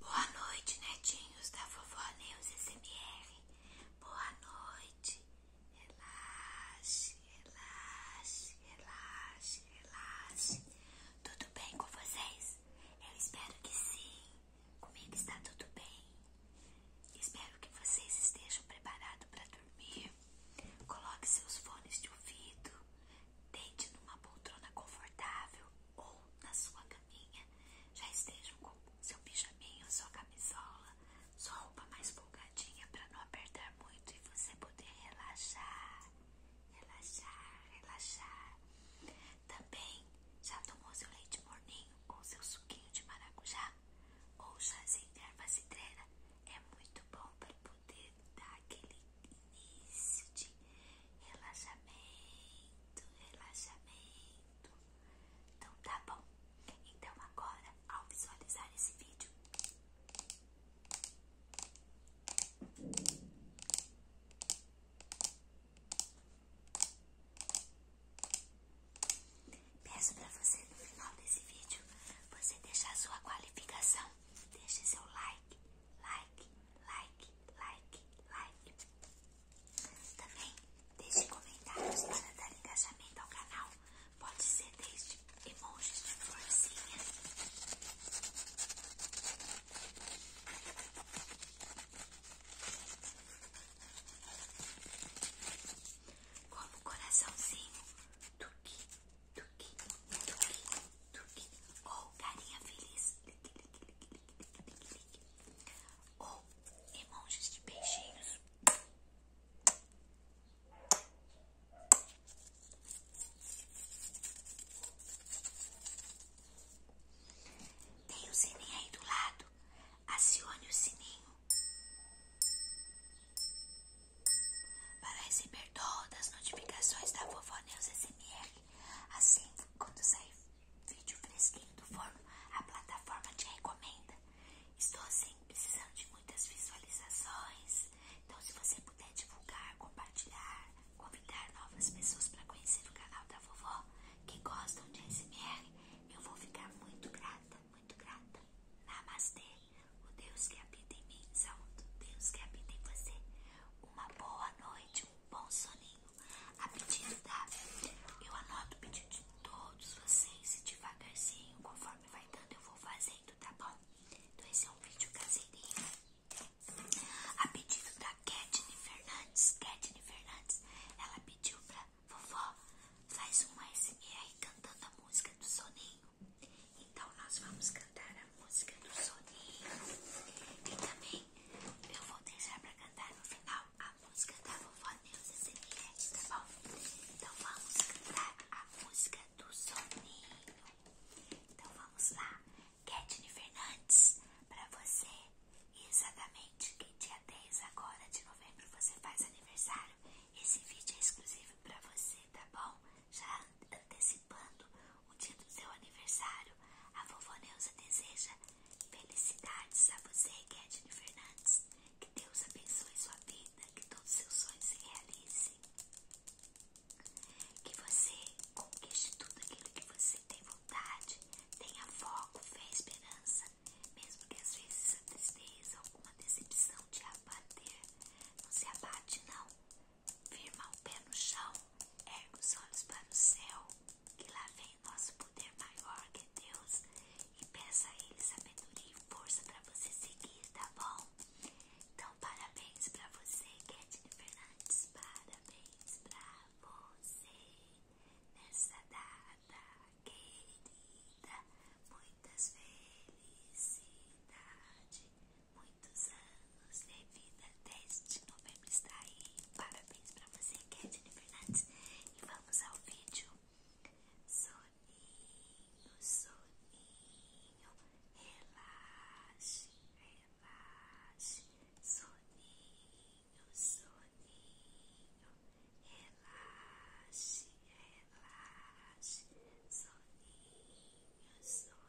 Boa noite, netinhos da vovó Neus SMR. Boa noite. Relaxe, relaxe, relaxe, relaxe. Tudo bem com vocês? Eu espero que sim. Comigo está tudo bem. Espero que vocês estejam preparados para dormir. Coloque seus fones de ouvido. Deite numa poltrona confortável ou na sua caminha já estejam com seu pijaminho, sua camisola, sua roupa mais folgadinha para não apertar muito e você poder relaxar, relaxar, relaxar. Também já tomou seu leite morninho ou seu suquinho de maracujá ou chazinho de erva cidreira? É muito bom para poder dar aquele de relaxamento, relaxamento. Então tá bom. Então agora, ao visualizar esse vídeo, Peço para você no final desse vídeo, você deixar sua qualificação, deixe seu like, like, like, like, like. Também deixe comentários para dar engajamento ao canal. Pode ser desde emojis de florzinha. Como coraçãozinho, tuque, tuque, tuque, tuque, ou carinha feliz, ou emojis de beijinhos. Tem o sininho aí do lado. Acione o sininho para receber todas as notificações da Vovó Neus SMR. Assim, quando sair vídeo fresquinho do forno, a plataforma te recomenda. Estou assim precisando de muitas visualizações. Então, se você puder divulgar, compartilhar, convidar novas pessoas para conhecer o canal da vovó que gostam de SMR, eu vou ficar muito grata, muito grata. Namastê, o Deus que que habita em mim, saúdo Deus que habita em você. Uma boa noite, um bom soninho. A pedido da. Eu anoto o pedido de todos vocês, devagarzinho, conforme vai dando, eu vou fazendo, tá bom? Então, esse é um vídeo caseirinho. A pedido da Ketine Fernandes. Ketine Fernandes, ela pediu pra vovó, faz um SMR cantando a música do soninho. Então, nós vamos cantar a música do soninho. E também eu vou deixar pra cantar no final a música da vovó Neuza Semirete, tá bom? Então vamos cantar a música do soninho. Então vamos lá. Ketine Fernandes, pra você. Exatamente que dia 10 agora de novembro você faz aniversário. Esse vídeo é exclusivo pra você, tá bom? já antecipando o dia do seu aniversário, a vovó Neuza deseja felicidades a você, Kedney Fernandes. Que Deus abençoe sua vida, que todos seus sonhos se realizem. Que você conquiste tudo aquilo que você tem vontade, tenha foco, fé e esperança, mesmo que às vezes a tristeza, alguma decepção te abate. Não se abate, não. Firma o pé no chão, erga os olhos para o céu, que lá vem nosso poder maior que Deus, e peça a Ele sabedoria e força para você seguir, tá bom? Então, parabéns para você, Ketine Fernandes, parabéns para você nessa data querida, muitas felicidades muitos anos de vida. 10 de novembro está aí. Parabéns para você, Catherine Fernandes. E vamos ao vídeo. Soninho, soninho, relaxe, relaxe. Soninho, soninho, relaxe, relaxe. Soninho, soninho.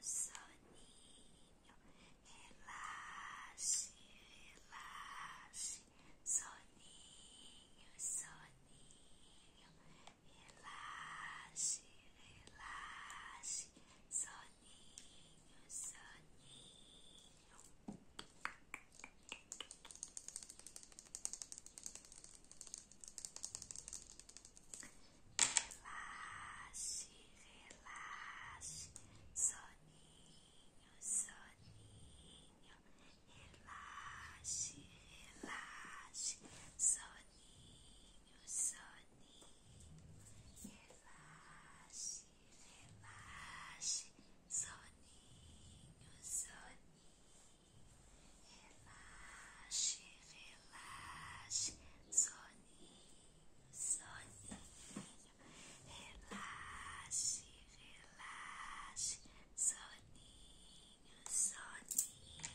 soninho, soninho, relaxe, relaxe, soninho, soninho, relaxe, relaxe, soninho, soninho. Relaxe, relaxe, soninho, soninho. Relaxe, relaxe, soninho, soninho. Relaxe, relaxe, soninho, soninho. Relaxe, relaxe, soninho soninho, soninho, relaxe, relaxe, soninho, soninho.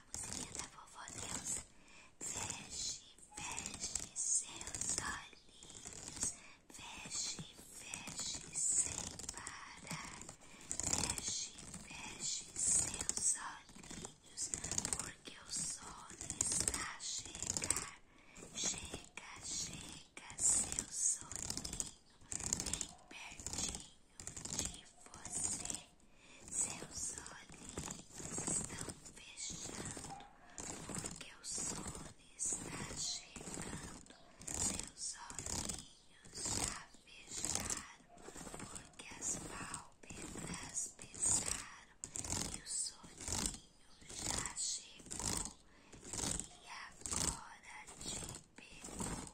a musiquinha é da vovó Deus. Feche, feche seus olhinhos. Feche, feche sem parar. Feche, feche seus olhinhos. Porque o sono está a chegar. Chega, chega, seu soninho. Bem pertinho de você. Seus olhinhos estão fechando, porque o sono está chegando. Seus olhinhos já fecharam, porque as pálpebras pesaram. E o soninho já chegou, e agora te pegou.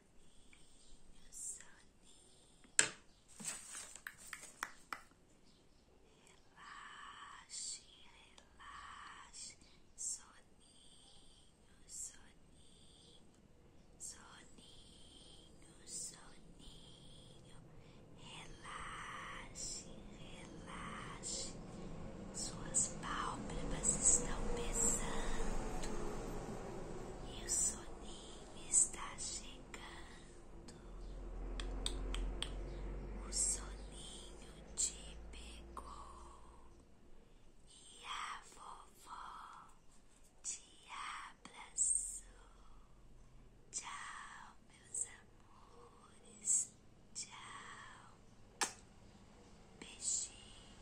soninho, Relaxe, relaxe, soninho, soninho, soninho, soninho. Relaxe, relaxe. Suas pálpebras estão pesando e o soninho está chegando. O soninho te pegou e a vovó te abraçou. Tchau, meus amores. Tchau. Beijinho.